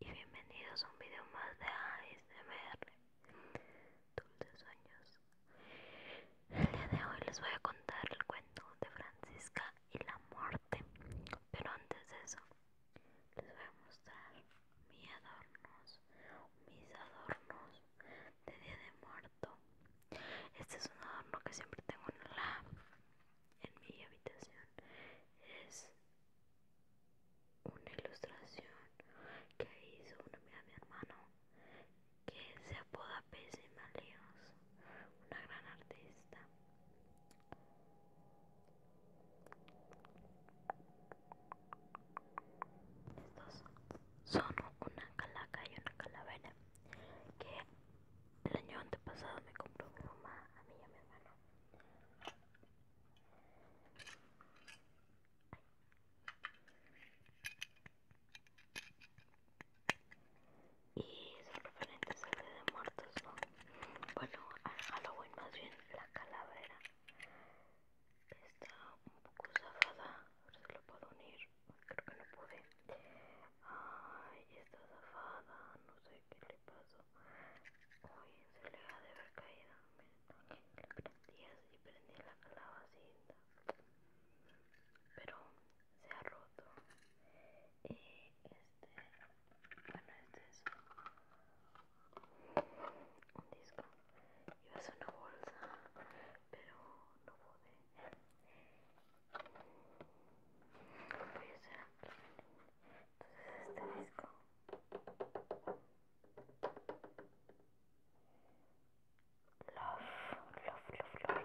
y bienvenidos a un video más de ASMR Dulces Sueños El día de hoy les voy a contar el cuento de Francisca y la muerte Pero antes de eso les voy a mostrar mis adornos Mis adornos de Día de Muerto Este es un adorno que siempre tengo en la en mi habitación es una ilustración que hizo una de mi hermano que se apoda Pésima Leos, una gran artista. Estos son una calaca y una calavera que el año antepasado me compró mi mamá a mí y a mi hermano. Y son referentes al de Muertos, ¿no? Bueno, lo Halloween más bien, la calavera está un poco zafada, A ver si lo puedo unir, creo que no pude. Ay, está zafada, no sé qué le pasó. Uy, se le ha de haber caído. Y así prendí la calabacita. Pero se ha roto. Y este, bueno, este es un disco. Iba a ser una bolsa, pero no pude. Voy a hacer este disco love love love love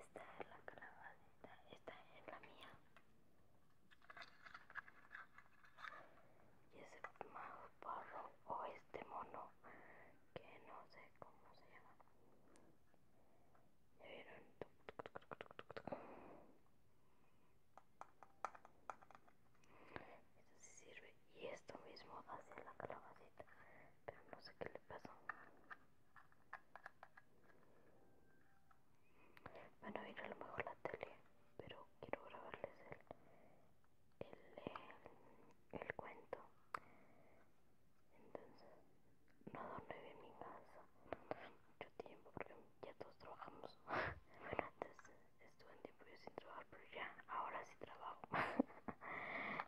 esta es la calabacita esta es la mía y ese barro o este mono que no sé cómo se llama esto sí sirve. Y esto mismo hace la calabacita. Pero no sé qué le pasó. bueno a ir a lo mejor la tele. Pero quiero grabarles el, el, el, cuento. Entonces, no dormí en mi casa. mucho tiempo porque ya todos trabajamos. bueno, antes estuve en tiempo yo sin trabajar, pero ya, ahora sí trabajo.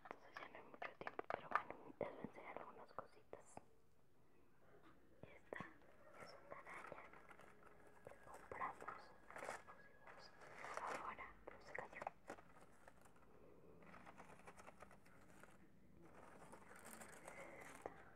Entonces ya no hay mucho tiempo, pero bueno, les voy a enseñar algunas cositas. Esta es una araña que compramos, ahora, pero se cayó.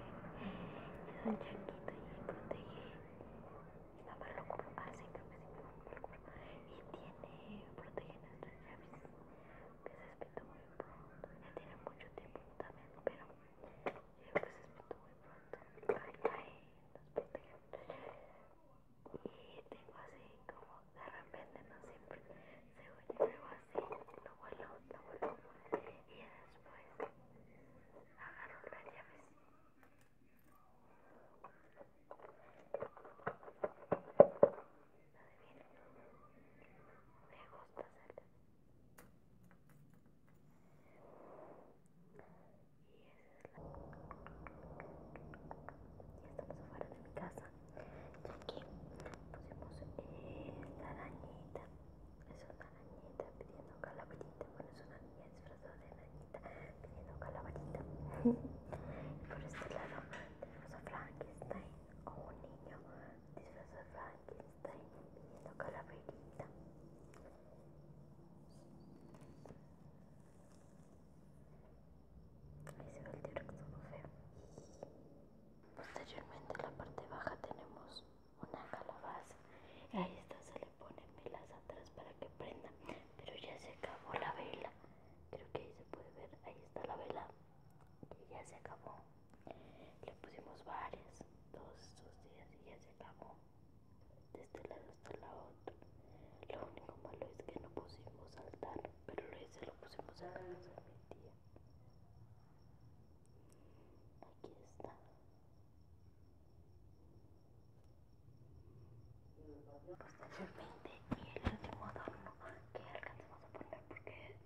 es tan chiquito y protege nada mamá lo hace ah, sí, creo que mi y tiene protege nuestras llaves que se espetó muy pronto ya tiene mucho tiempo también pero yo que se espetó muy pronto ay ay nos protege y tengo así como de repente no siempre se oye lo vuelvo, lo vuelvo Y después agarro la llave. Me gusta hacerlo. Y esa es la... Ya estamos afuera de mi casa. Y aquí pusimos la arañita. Es una arañita pidiendo calaverita. Bueno, es una niña disfrazada de arañita pidiendo calaverita. por este lado tenemos a Frankenstein o un niño disfrazado de Frankenstein pidiendo calaverita. Ahí se ve el t feo. Posteriormente en la parte baja tenemos una calabaza. ahí está se le ponen velas atrás para que prenda. Pero ya se acabó la vela. Creo que ahí se puede ver. Ahí está la vela. Y ya se acabó. Le pusimos varias dos, dos días y ya se acabó. De este lado hasta la otra. Lo único malo es que no pusimos saltar Pero ese lo pusimos en casa de mi tía. Aquí está. Posteriormente, y el último adorno que alcanzamos a poner porque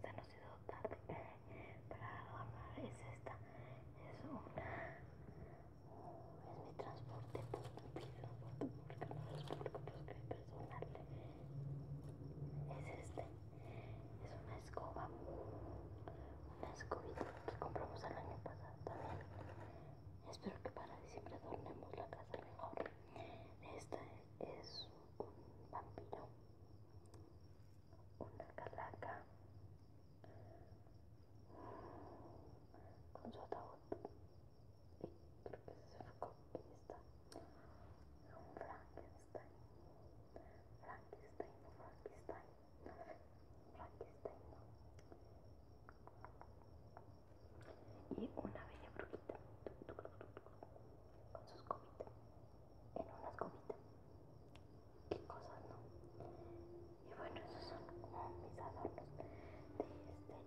se nos hizo tarde para adornar es esta. Es una. Es mi transporte público, porque no es público, porque es personal. Es este es una escoba, una escobita que compramos el año pasado también. Espero que para diciembre adornemos la casa mejor. Esta es un vampiro, una calaca con su ataúd. Y creo que se fue con esta. Un Frankenstein. Frankenstein, Frankenstein, Frankenstein, Y una bella brujita con sus escobita, en una escobita. Qué cosas, ¿no? Y bueno, esos son mis adornos de este mes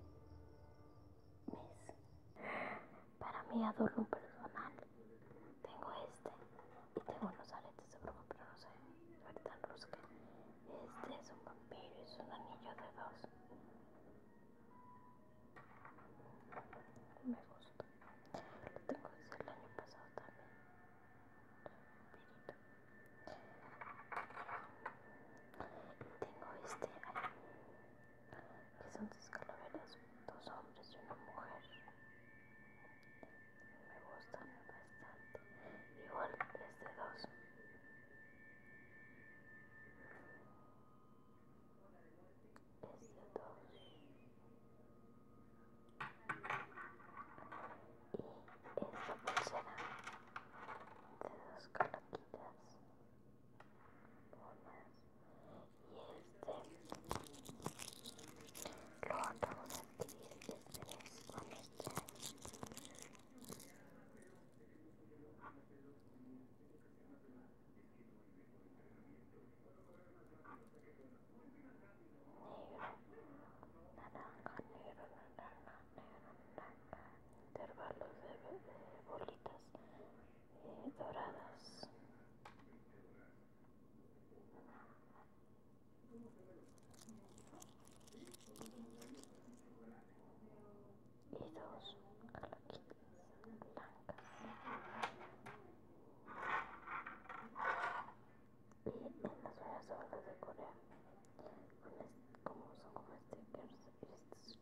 para mi adorno personal. Tengo este y tengo unos aletes de broma, pero no sé, ver tan rusca. Este es un vampiro, es un anillo de dos. Me gusta. Lo tengo desde el año pasado también. Vampirito. Tengo este que son dos calaveras, dos hombres y una mujer. Me gustan bastante. Igual este de dos. Es de dos. Y esta pulsera de dos calaquitas. Lo acabo de activar con este negro, naranja, negro, Intervalos de, bolitas doradas y dos caloquitas blancas y en las hojas de Corea como son como este stickers y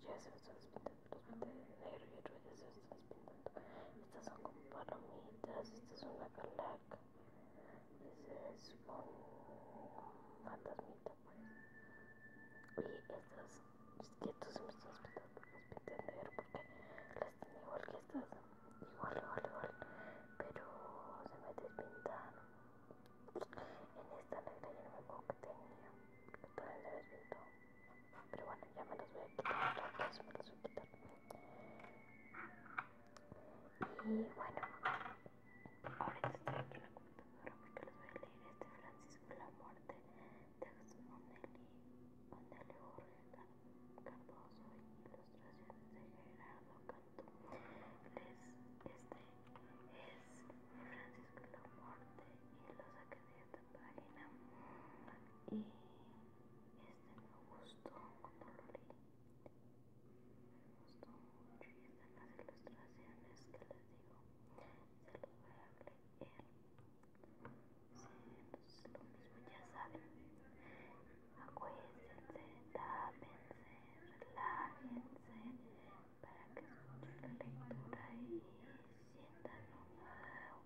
ya se están los de y estas son como palomitas. Esta es una calaca. este es un fantasmita, pues. Y estas. Es que tú se me estás pitando, las porque las tengo igual que estas. Igual, igual, igual. Pero se me despintaron. En esta negra yo no me acuerdo que tenía. Que el se despintó. Pero bueno, ya me los voy a quitar. los voy quitar. Y bueno, ahora estoy aquí en la computadora porque les voy a leer este Francisco la muerte de Onelio Jorge Cardoso y ilustraciones de Gerardo Cantú. este es Francisco la muerte y lo saqué de esta página. Y este me gustó cuando lo leí. Me gustó mucho y están las ilustraciones que les digo. Se los voy a leer. lo mismo ya saben. Acuéstense, la relájense para que escuchen la lectura y sientan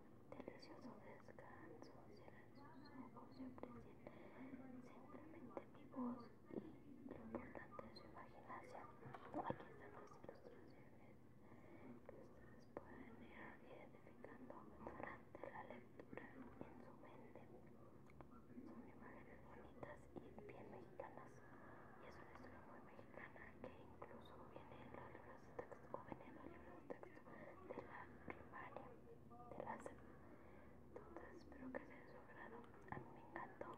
Delicioso descanso, si sus ojos y aprecien simplemente mi voz y lo importante su imaginación. Aquí están las ilustraciones que ustedes pueden ir identificando durante la lectura en su mente. Son imágenes bonitas y bien mexicanas y es una historia muy mexicana que incluso viene en los libros de o viene en los libros de de la primaria, de la las entonces Espero que sea de su A mí me encantó.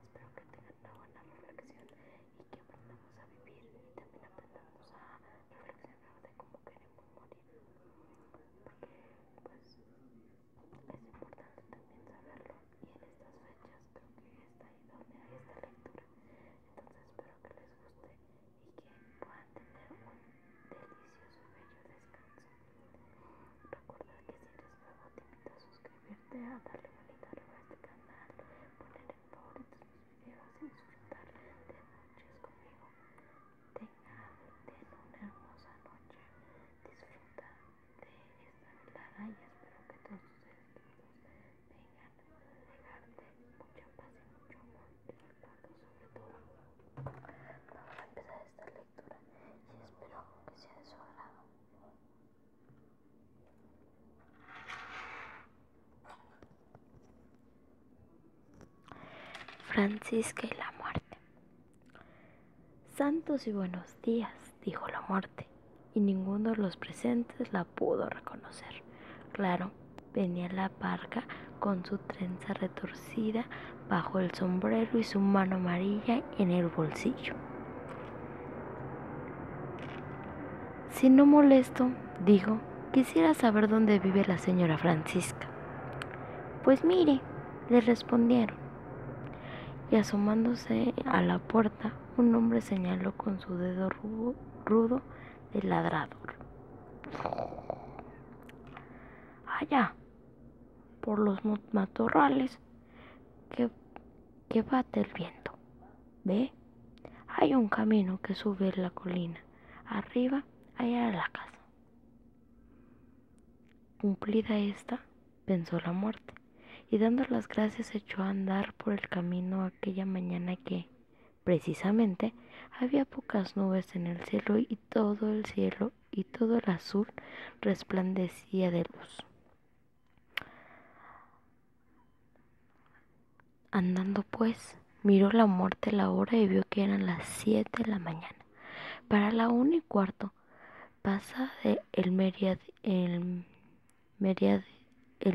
Espero que tengan una buena reflexión y que aprendamos a vivir y también aprendamos a reflexionar de cómo queremos morir. Porque, pues, es importante también saberlo. Y en estas fechas creo que está ahí donde hay esta lectura. Entonces, espero que les guste y que puedan tener un delicioso, bello descanso. Recuerda que si eres nuevo te invito a suscribirte, a darle bonita a este canal, poner en favoritos los videos y disfrutar de noches conmigo. Tengan, una hermosa noche, disfruta de esta velada y espero que todos ustedes vengan darte mucha paz y mucho amor y sobre todo. Vamos a empezar esta lectura y espero que sea de su agrado. Francisca y la muerte. Santos y buenos días, dijo la muerte, y ninguno de los presentes la pudo reconocer. Claro, Venía la parca con su trenza retorcida bajo el sombrero y su mano amarilla en el bolsillo. Si no molesto, dijo, quisiera saber dónde vive la señora Francisca. Pues mire, le respondieron. Y asomándose a la puerta, un hombre señaló con su dedo rudo el ladrador. Allá, por los matorrales que, bate el viento. ¿Ve? Hay un camino que sube la colina. Arriba, allá la casa. Cumplida esta, pensó la muerte, y dando las gracias echó a andar por el camino aquella mañana que Precisamente, había pocas nubes en el cielo y todo el cielo y todo el azul resplandecía de luz. Andando pues, miró la muerte la hora y vio que eran las 7 de la mañana. Para la una y cuarto, pasa el, el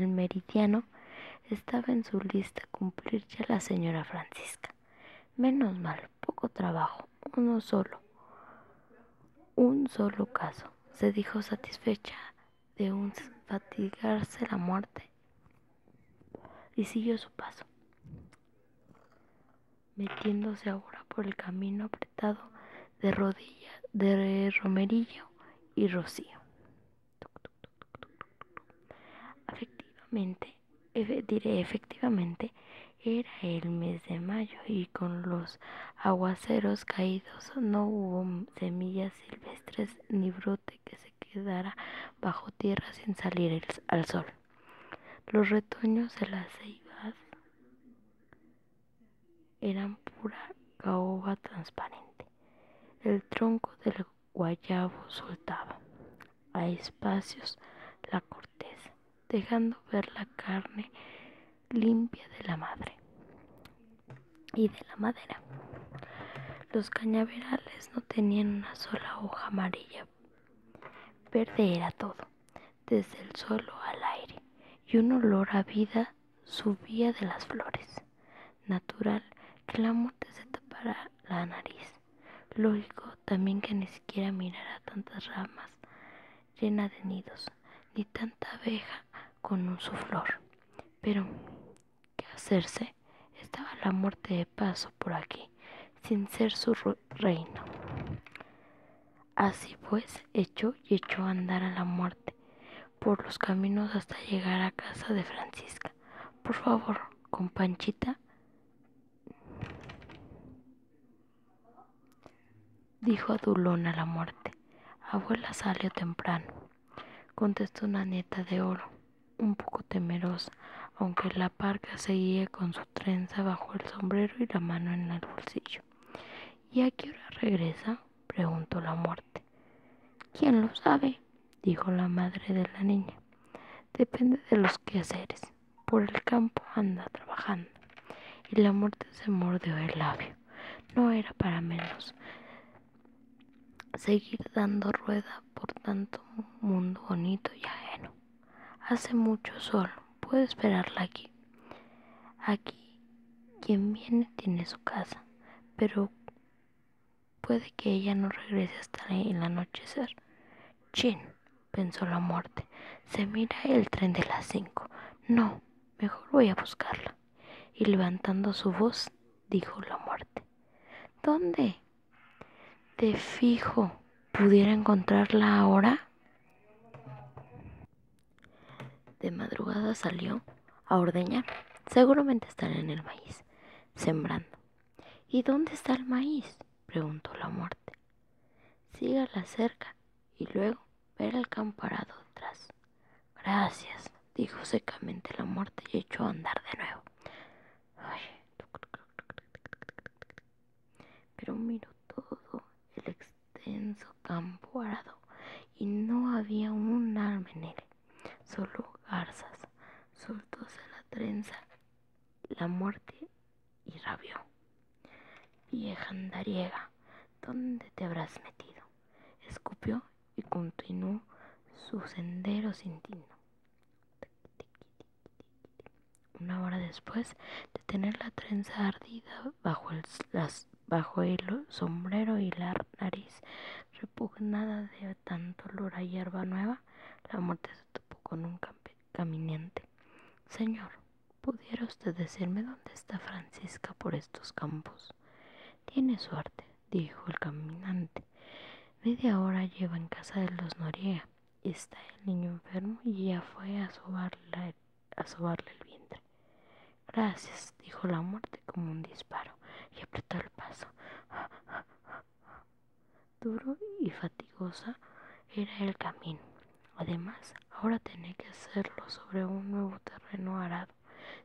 meridiano estaba en su lista cumplir ya la señora Francisca. Menos mal, poco trabajo, uno solo. Un solo caso, se dijo satisfecha de un fatigarse la muerte y siguió su paso, metiéndose ahora por el camino apretado de rodillas, de romerillo y rocío. Efectivamente, diré efectivamente, era el mes de mayo y con los aguaceros caídos no hubo semillas silvestres ni brote que se quedara bajo tierra sin salir al sol. Los retoños de las ceibas eran pura caoba transparente. El tronco del guayabo soltaba a espacios la corteza, dejando ver la carne limpia de la madre y de la madera. Los cañaverales no tenían una sola hoja amarilla. Verde era todo, desde el suelo al aire, y un olor a vida subía de las flores natural que la muerte se tapara la nariz. Lógico también que ni siquiera mirara tantas ramas llenas de nidos, ni tanta abeja con un suflor Pero, ¿qué hacerse? Estaba la muerte de paso por aquí, sin ser su reino. Así pues, echó y echó a andar a la muerte por los caminos hasta llegar a casa de Francisca. Por favor, con Panchita? Dijo a a la muerte. Abuela salió temprano, contestó una neta de oro, un poco temerosa, aunque la parca seguía con su trenza bajo el sombrero y la mano en el bolsillo. ¿Y a qué hora regresa? preguntó la muerte. ¿Quién lo sabe? dijo la madre de la niña. Depende de los quehaceres. Por el campo anda trabajando. Y la muerte se mordió el labio. No era para menos seguir dando rueda por tanto mundo bonito y ajeno. Hace mucho sol, puedo esperarla aquí. Aquí quien viene tiene su casa, pero Puede que ella no regrese hasta el anochecer. Chin, pensó la muerte. Se mira el tren de las cinco. No, mejor voy a buscarla. Y levantando su voz, dijo la muerte. ¿Dónde? De fijo, ¿pudiera encontrarla ahora? De madrugada salió a ordeñar. Seguramente estará en el maíz, sembrando. ¿Y dónde está el maíz? preguntó la muerte. Sígala cerca y luego verá el camparado atrás. Gracias, dijo secamente la muerte y echó a andar de nuevo. Pero miró todo el extenso campo arado y no había un alma en él solo garzas, soltóse la trenza, la muerte y rabió Vieja andariega, ¿dónde te habrás metido? Escupió y continuó su sendero sin tino. Una hora después de tener la trenza ardida bajo el, bajo el sombrero y la nariz repugnada de tanto olor a hierba nueva, la muerte se topó con un caminante. Señor, ¿pudiera usted decirme dónde está Francisca por estos campos? Tiene suerte, dijo el caminante. Media hora lleva en casa de los Noriega. Está el niño enfermo y ya fue a sobarle, el vientre. Gracias, dijo la muerte como un disparo y apretó el paso. Duro y fatigosa era el camino. Además, ahora tenía que hacerlo sobre un nuevo terreno arado,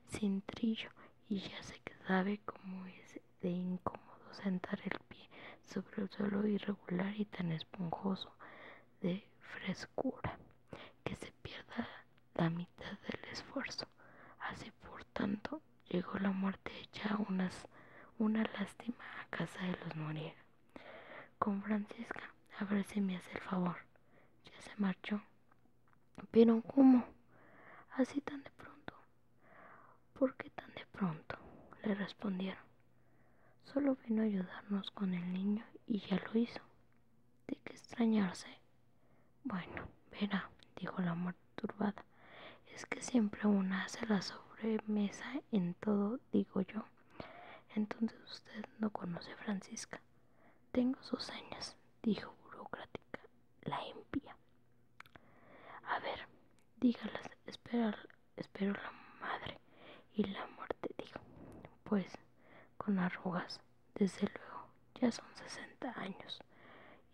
sin trillo, y ya se sabe como es de incómodo sentar el pie sobre un suelo irregular y tan esponjoso de frescura, que se pierda la mitad del esfuerzo. Así, por tanto, Llegó la muerte hecha unas, una lástima a casa de los morir Con Francisca, a ver si me hace el favor. Ya se marchó. Pero ¿cómo? Así tan de pronto. ¿Por qué tan de pronto? Le respondieron. Solo vino a ayudarnos con el niño y ya lo hizo. ¿De qué extrañarse? Bueno, verá, dijo la muerte turbada. Es que siempre una hace la sobremesa en todo, digo yo. Entonces usted no conoce a Francisca. Tengo sus años, dijo burocrática, la impía. A ver, dígalas, espero, espero la madre y la muerte, dijo. Pues, con arrugas, desde luego, ya son sesenta años.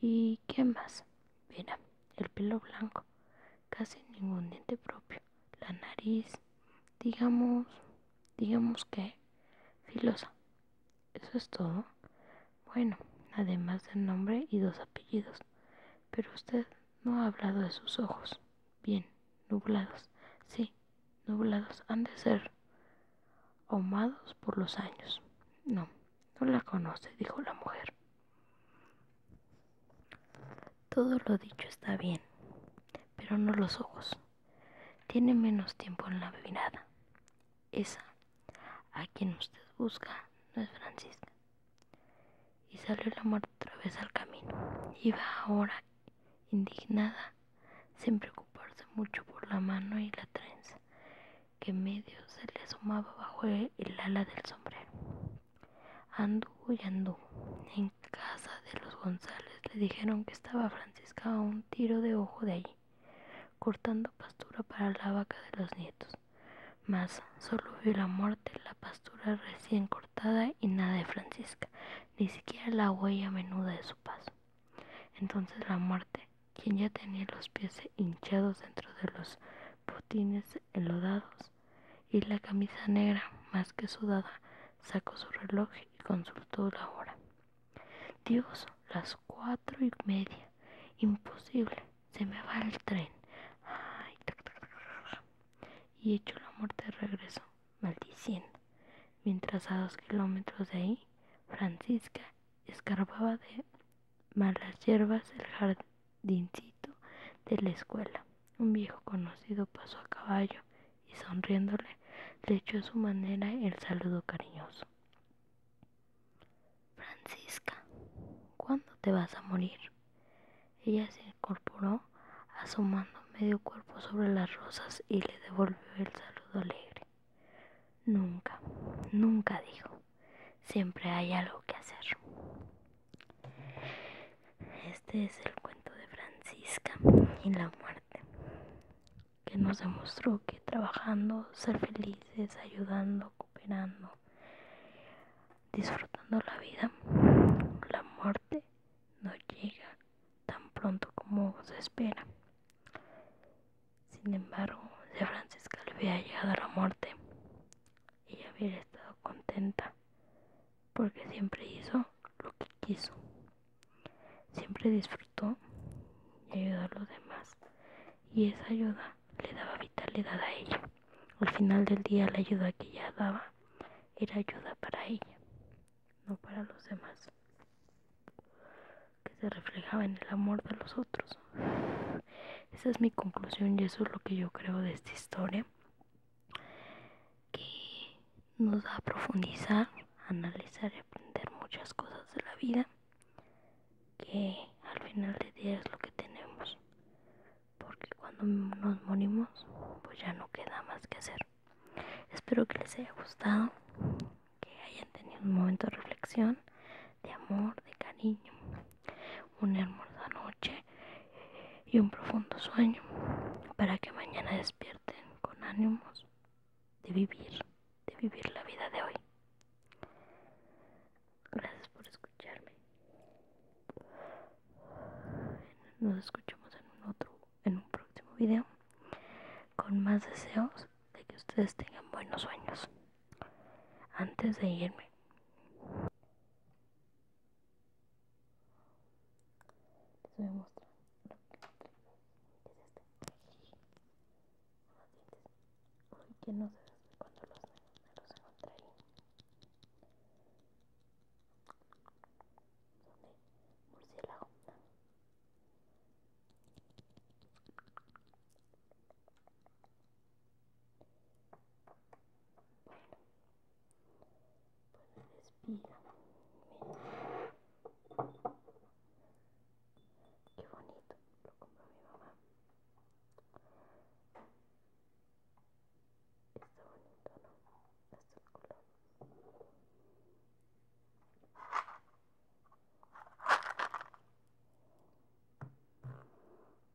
¿Y qué más? Mira, el pelo blanco, casi ningún diente propio, la nariz, digamos, digamos que filosa. Eso es todo. Bueno, además del nombre y dos apellidos. Pero usted no ha hablado de sus ojos. Bien, nublados. Sí, nublados han de ser ahumados por los años. No, no la conoce, dijo la mujer. Todo lo dicho está bien, pero no los ojos. Tiene menos tiempo en la bebinada. Esa, a quien usted busca, no es Francisca. Y salió la muerte otra vez al camino. Iba ahora indignada, sin preocuparse mucho por la mano y la trenza, que medio se le asomaba bajo el, ala del sombrero. Anduvo y andú En casa de los González le dijeron que estaba Francisca a un tiro de ojo de allí, cortando pastura para la vaca de los nietos. Mas solo vio la muerte, la pastura recién cortada y nada de Francisca, ni siquiera la huella menuda de su paso. Entonces la muerte quien ya tenía los pies hinchados dentro de los botines enlodados y la camisa negra más que sudada, sacó su reloj y consultó la hora. Dios, las cuatro y media. Imposible, se me va el tren. y echó la muerte de regreso, maldiciendo. Mientras a dos kilómetros de ahí, Francisca escarbaba de malas hierbas del jardincito de la escuela. Un viejo conocido pasó a caballo y sonriéndole le echó a su manera el saludo cariñoso. Francisca, ¿cuándo te vas a morir? Ella se incorporó asomando medio cuerpo sobre las rosas y le devolvió el saludo alegre. Nunca, nunca dijo. Siempre hay algo que hacer. Este es el cuento de Francisca y la muerte, que nos demostró que trabajando, ser felices, ayudando, cooperando, disfrutando la vida, la muerte no llega tan pronto como se espera sin embargo, si Francisca le hubiera llegado la muerte, ella hubiera estado contenta, porque siempre hizo lo que quiso, siempre disfrutó y ayudó a los demás, y esa ayuda le daba vitalidad a ella. Al final del día la ayuda que ella daba era ayuda para ella, no para los demás, que se reflejaba en el amor de los otros. Esa es mi conclusión y eso es lo que yo creo de esta historia, que nos da a profundizar, analizar y aprender muchas cosas de la vida, que al final de día es lo que tenemos, porque cuando nos morimos, pues ya no queda más que hacer. Espero que les haya gustado, que hayan tenido un momento de reflexión, de amor, de cariño una hermosa noche y un profundo sueño para que mañana despierten con ánimos de vivir, de vivir la vida de hoy. Gracias por escucharme. Nos escuchamos en un otro, en un próximo video con más deseos de que ustedes tengan buenos sueños antes de irme. Les voy a mostrar lo que es este. Unos que no sé cuando los, me los encontré ahí. Son de bueno, respira. Mira. Qué bonito. Lo compró mi mamá. Está bonito, ¿no? Hasta el